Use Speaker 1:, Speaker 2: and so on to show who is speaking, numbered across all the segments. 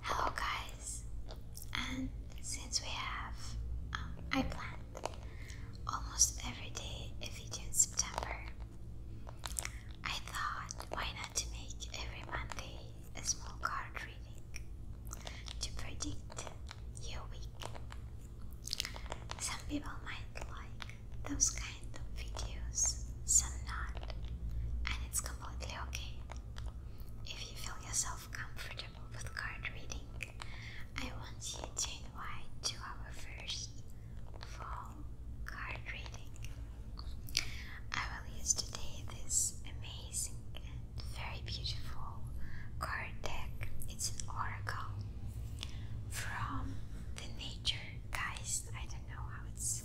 Speaker 1: Hello guys, and since we have, um, I planned almost every day a video in September, I thought why not to make every Monday a small card reading to predict your week. Some people might like those kind of videos, some not, and it's completely okay. If you feel yourself comfortable with card reading, I want you to invite to our first fall card reading. I will use today this amazing and very beautiful card deck. It's an oracle from the nature guys. I don't know how it's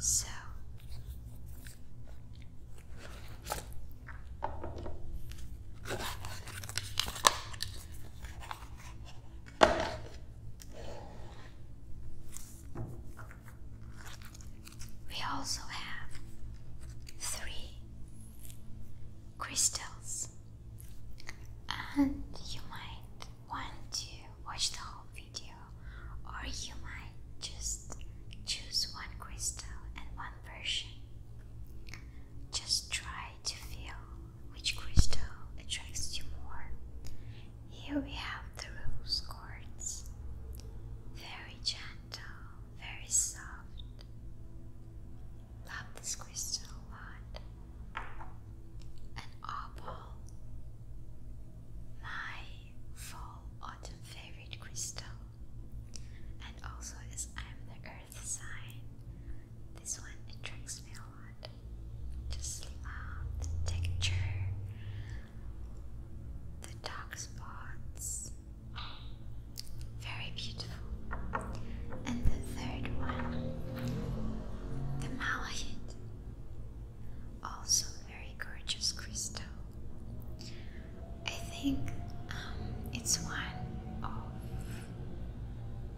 Speaker 1: So we also have three crystals, and you might want to watch the whole video, or you might just choose one crystal and one version. Just try to feel which crystal attracts you more. Here we have the rose quartz. Very gentle, very soft. Love this crystal a lot an opal, my fall autumn favorite crystal, and also as I'm the earth sign, this one attracts me a lot. Just love the texture, the dark spots. Very beautiful. And the third one the malachite, also very gorgeous crystal. I think um, it's one of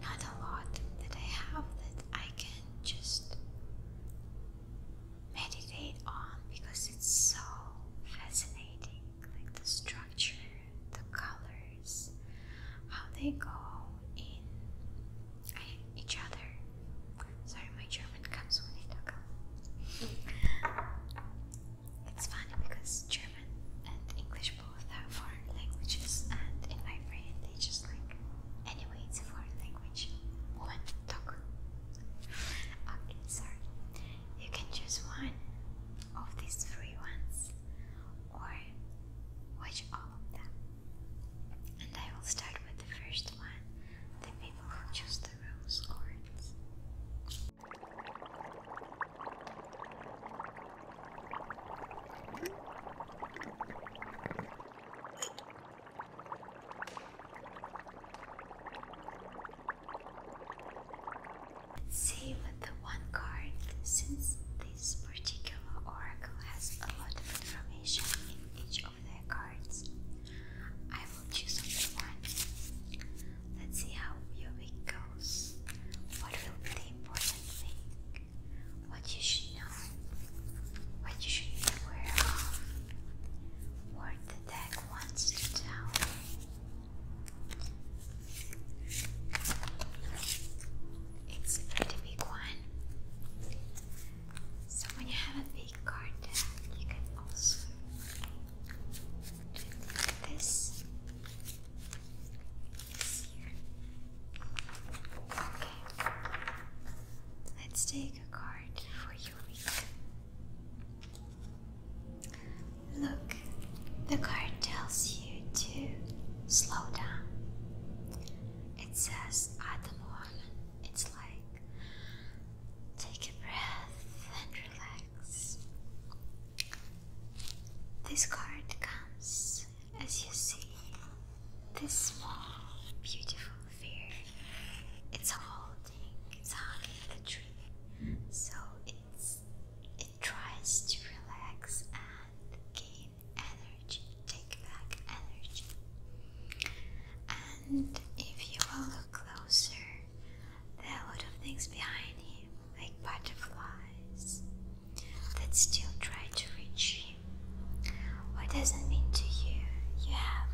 Speaker 1: not a lot that I have that I can just meditate on because it's so fascinating like the structure, the color, how they go in each other. Sorry, my German comes when I talk. It's funny because German and English both are foreign languages, and in my brain they just like, anyway, it's a foreign language. Woman, talk. Okay, sorry. You can choose one of these three ones, or watch all of them. And I will start with the first one the people who choose the rose quartz. See with the one card since this particular oracle has a lot of information in each of their cards. I will choose only one. Let's see how your week goes. What will be the important thing? What you should know? What you should be aware of? What the deck wants to tell? it's pretty big one. So when you have a big garden, you can also do this. Okay. Let's take a card for your week. Look, the card tells you you to slow down. It says at the moment, it's like take a breath and relax. This card comes as you see this small, beautiful fear. It's holding, it's hugging the tree, so it's it tries to relax and give energy, take back energy. And if you will look closer, there are a lot of things behind him, like butterflies, that still try to reach you. What does it mean to you? You have,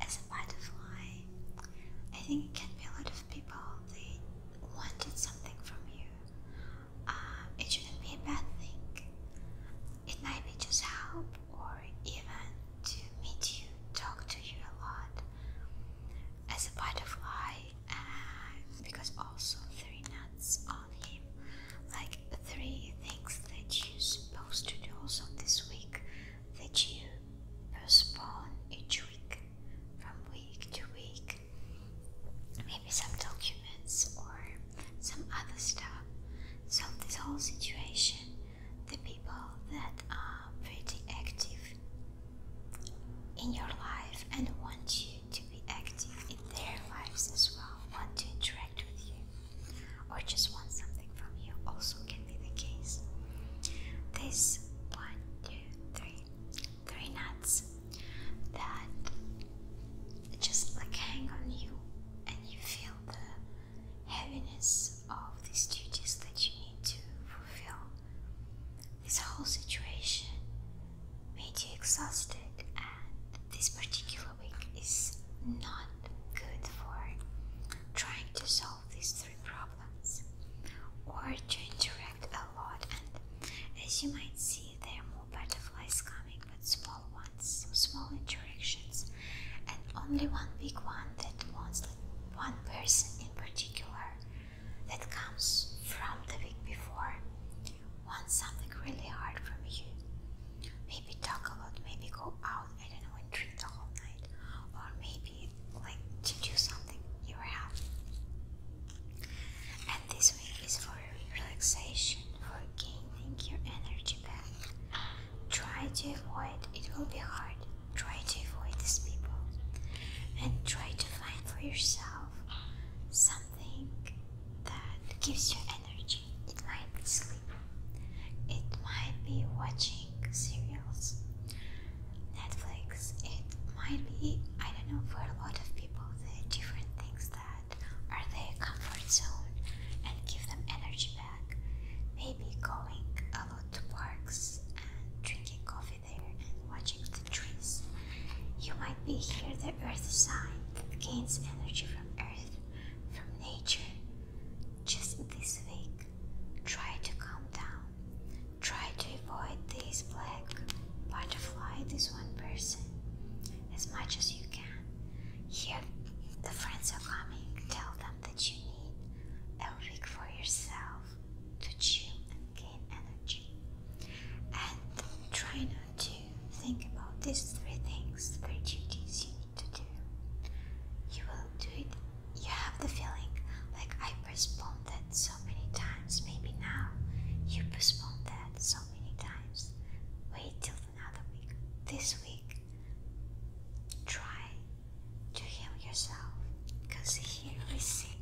Speaker 1: as a butterfly, I think it can be a lot of people, they wanted something from you, uh, it shouldn't be a bad thing. It might be just help or even to meet you, talk to you a lot as a butterfly, because also three nuts on him, like three things that you're supposed to do also this week that you postpone each week from week to week maybe some documents or some other stuff. So, this whole situation, the people that are pretty active in your life and want you to be active in their lives as well, want to interact with you, or just want something from you, also can be the case. This one, two, three very nuts that just like hang on you and you feel the heaviness of these duties that you need to fulfill. This whole situation made you exhausted, and this particular week is not good for trying to solve these three problems or to interact a lot and as you might see there are more butterflies coming but small ones, small interactions and only one big one that wants like one person in particular that comes from the week before wants something really hard from you. Maybe talk a lot, maybe go out, and then not know, and drink the whole night or maybe like to do something you are have and this week is for relaxation, for gaining your energy back. Try to avoid, it will be hard. Try to avoid these people. And try to find for yourself something that gives you energy. It might be sleep, it might be watching serials, Netflix, it might be, I don't know, for a lot of people different things that are their comfort zone and give them energy back. Maybe going a lot to parks and drinking coffee there and watching the trees. You might be here the earth sign that gains energy from earth, from nature. Just this week, try to calm down. Try to avoid this black butterfly, this one person, as much as you can. Here, the friends are coming. Tell them that you need a week for yourself to chill and gain energy. And try not to think about these three things, three duties you need to do. You will do it. You have the feeling like I postponed that so many times. Maybe now you postponed that so many times. Wait till another week. This week, try to heal yourself because here we see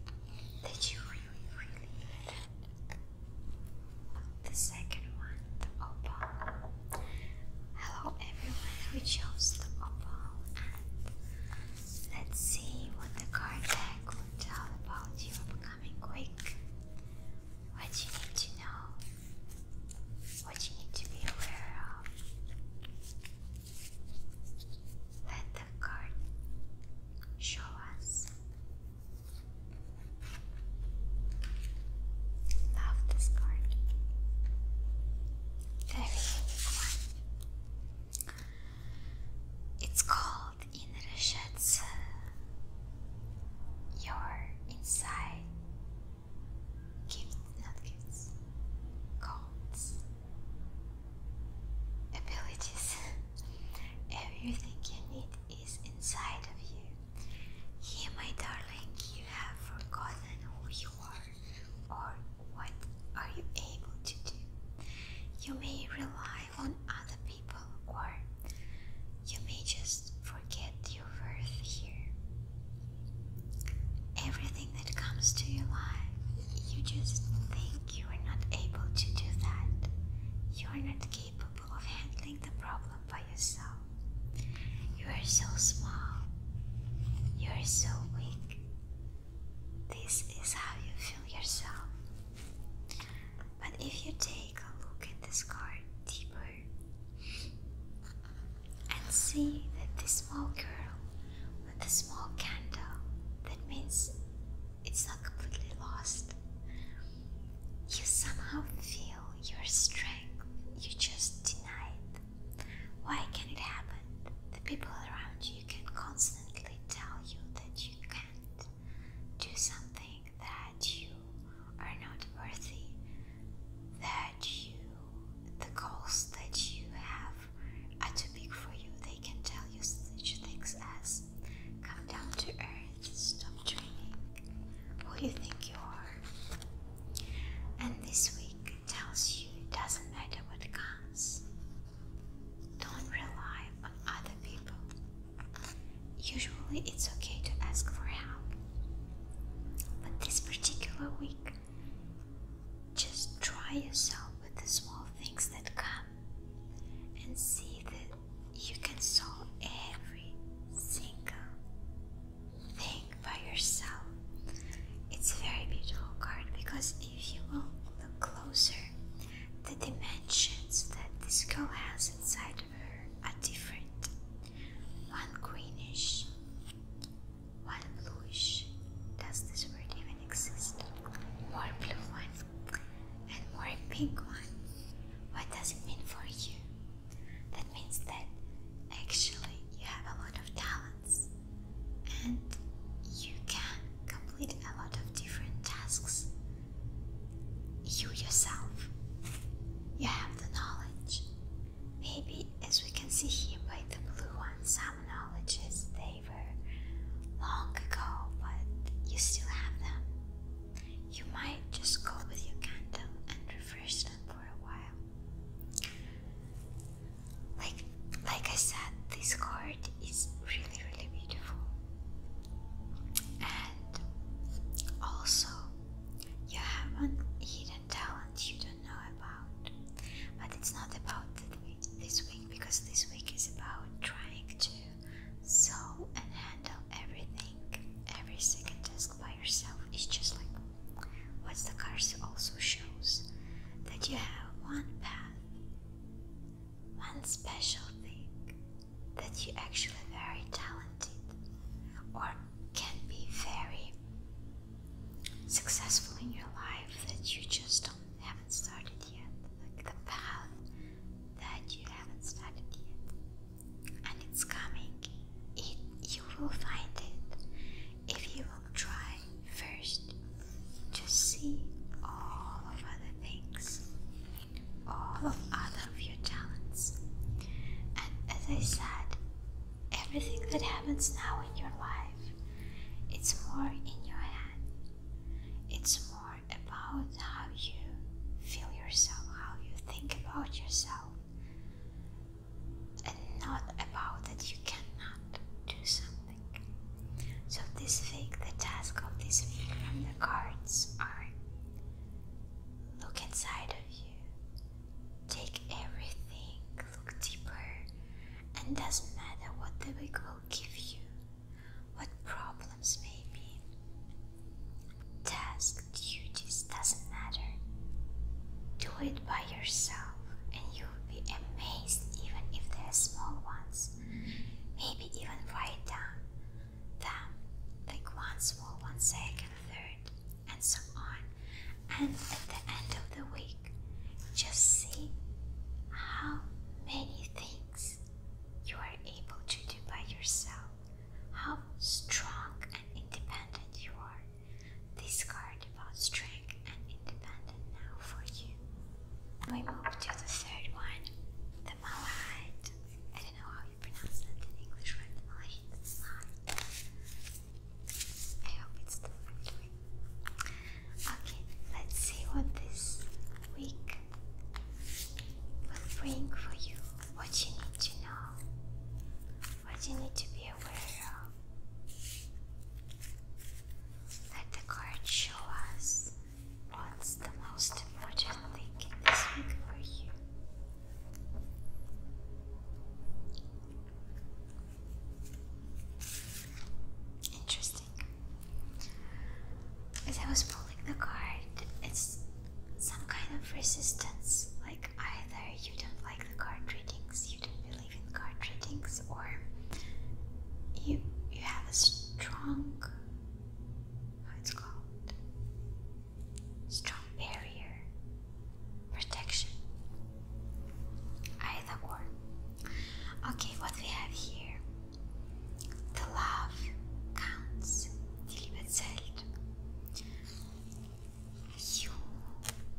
Speaker 1: that you really, really need it. The second one, the opal. Hello, everyone. We chose the opal, and let's see what the card deck tell about your becoming Greek, what you need to know, what you need to be aware of. Let the card show us. Love this card. Very unique one. It's called in Reshetsu. Uh, your inside gifts, not gifts, codes, abilities. Everything you need is inside of you. Here, my darling, you have forgotten who you are or what are you able to do. You may rely rely on other people, or you may just forget your worth here. Everything that comes to your life, you just think you are not able to do that. You are not capable of handling the problem by yourself.
Speaker 2: You are so small.
Speaker 1: You are so weak. This is how you feel yourself. But if you take a look at this card deeper and see that the small girl with a small candle, that means it's not completely lost. You somehow feel your strength, you just denied. Why can it happen? The people around you can constantly tell you that you can and do something that you are not worthy, that you the goals that you have are too big for you. They can tell you such things as come down to earth, stop dreaming, who you think you are? And this week tells you it doesn't matter what comes, don't rely on other people. Usually it's okay to ask for help. But this particular week, just try yourself with the small things that come and see that you can solve every single thing by yourself. It's a very beautiful card because if you look closer, the dimensions that this girl has inside of her are different. One greenish, one bluish. Does this word even exist? More blue ones, and more pink ones. What does it mean for you? That means that actually you have a lot of talents and you can complete a lot of different tasks. You yourself, you have the knowledge. Maybe, as we can see here by the blue ones, some knowledges they were long ago, but you still have them. You might just go with your candle and refresh them for a while like like I said, this card is really really beautiful. And also you have one hidden talent you don't know about. But it's not about this week because this week is about trying to sew and handle everything. Every second task by yourself It's just like what the card also shows that you have one path one special thing that you're actually very talented or can be very successful in your life that you just don't haven't started yet like the path that you haven't started yet and it's coming it you will find it if you will try first just see all of other things, all of other of your talents. And as I said, everything that happens now in your life, it's more in your hand. It's more about how you feel yourself, how you think about yourself, and not about that you cannot do something. So this week, the task of this week from the cards are look inside of you, take everything, look deeper, and doesn't matter what the week will give you, what problems may be. Task, duties, doesn't matter. Do it by yourself, and you'll be amazed even if they're small ones maybe even write down them like one small, one second, third, and so on. And at the end of the week, just see how many things you are able to do by yourself, how strong and independent you are. This card about strength and independence now for you we move to the third one, the malahide. I don't know how you pronounce it in English, right? I hope it's the right way. Okay, let's see what this week will bring for you. What you need to know, what you need to be aware of. Let the card show us what's the most important thing this week for you. Interesting. As I was pulling the card, it's some kind of resistance. Like either you don't like the card readings, you don't believe in card readings or you you have a strong how it's called strong barrier protection either or okay what we have here the love counts you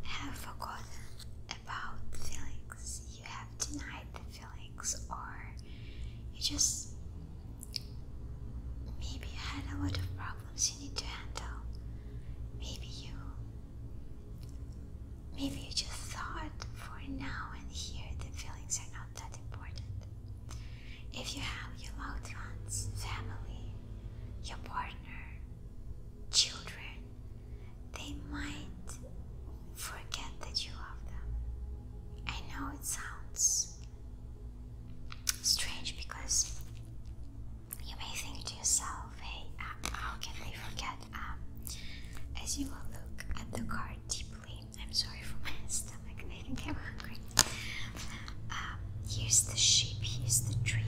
Speaker 1: have forgotten about feelings. You have denied the feelings, or you just maybe you had a lot of problems you need to handle. Maybe you maybe you just thought for now and here the feelings are not that important. If you have your loved ones, family, your partner, children, they might forget that you love them. I know it sounds strange because you may think to yourself, hey, uh, how can they forget? Um, as you will look at the card deeply, I'm sorry for my stomach, I think I'm hungry. Um, here's the sheep, here's the tree.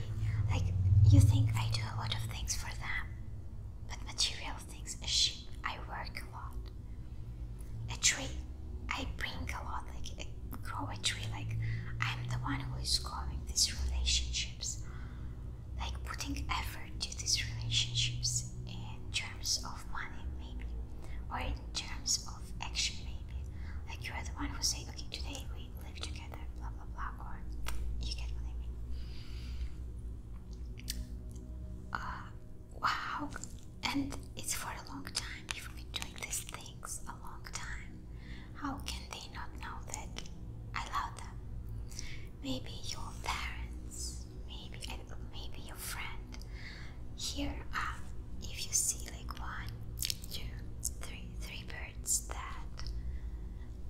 Speaker 1: Like, you think I do a lot of things for them but material things a sheep I work a lot. A tree I bring a lot, like a, grow a tree, like I'm the one who is growing these relationships, like putting effort to these relationships in terms of money maybe, or in terms of action maybe. Like you are the one who say, okay, today we live together, blah blah blah, or you get what I mean. Uh, wow, and it's for a long time. You've been doing these things a long time. How can they not know that I love them? Maybe your parents, maybe maybe your friend. Here are, if you see like one, two, three, three birds that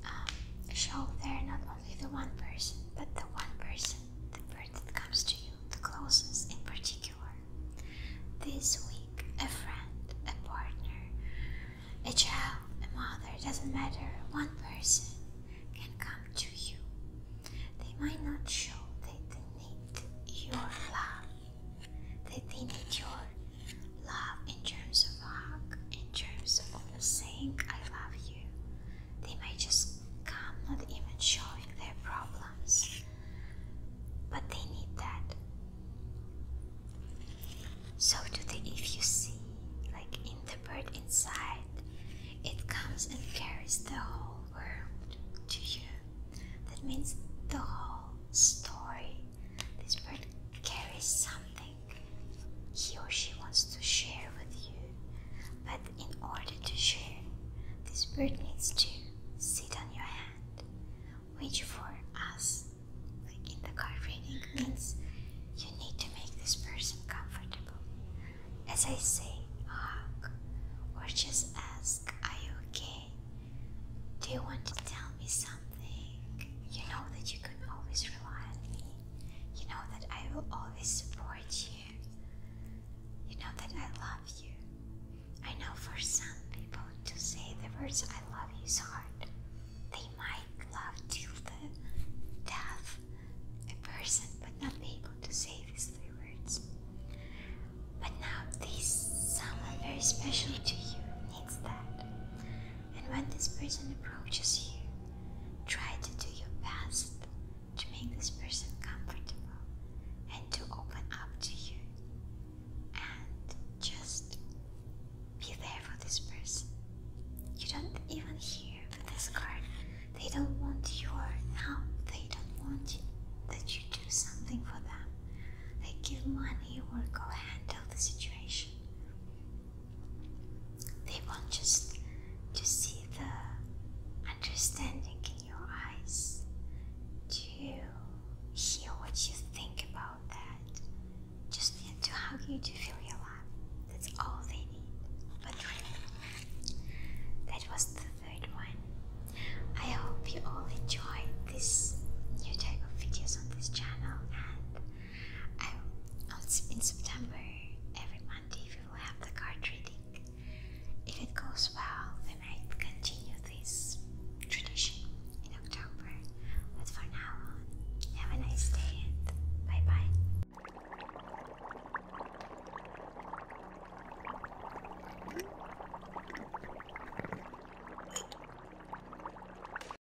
Speaker 1: um, show they're not only the one person, but the one person, the bird that comes to you the closest in particular. This week, a friend, a partner, a child, a mother, doesn't matter, one person can come to you. They might not show that they need your love, that they need your love in terms of a hug, pictures of saying I love you. They may just come not even showing their problems, but they need that. So today, if you see, like in the bird inside, it comes and carries the whole world to you. That means the whole story. This bird carries something he or she wants to share with you. But in order to share, this bird needs to sit on your hand, which for us, like in the card reading, means you need to make this person comfortable. As I say, hug, or just ask, Are you okay? Do you want to tell me something? You know that you can always rely on me. You know that I will always support you. You know that I love you. I know for some people to say the words I love you is hard. They might love till the death a person but not be able to say these three words. But now this someone very special to you needs that. And when this person approaches you, try to do your best to make this person comfortable and to open up to you. And just be there for this person. You don't even hear with this card. They don't want your help. They don't want you, that you do something for them. They give money or go handle the situation. They want just to see the understanding in your eyes, to hear what you think about that, just to hug you to feel your love. That's all they need. But really, that was the third one. I hope you all enjoyed this new type of videos on this channel and um, in September, every Monday we will have the card reading. If it goes well, we might continue this tradition in October. But for now on, have a nice day and bye bye.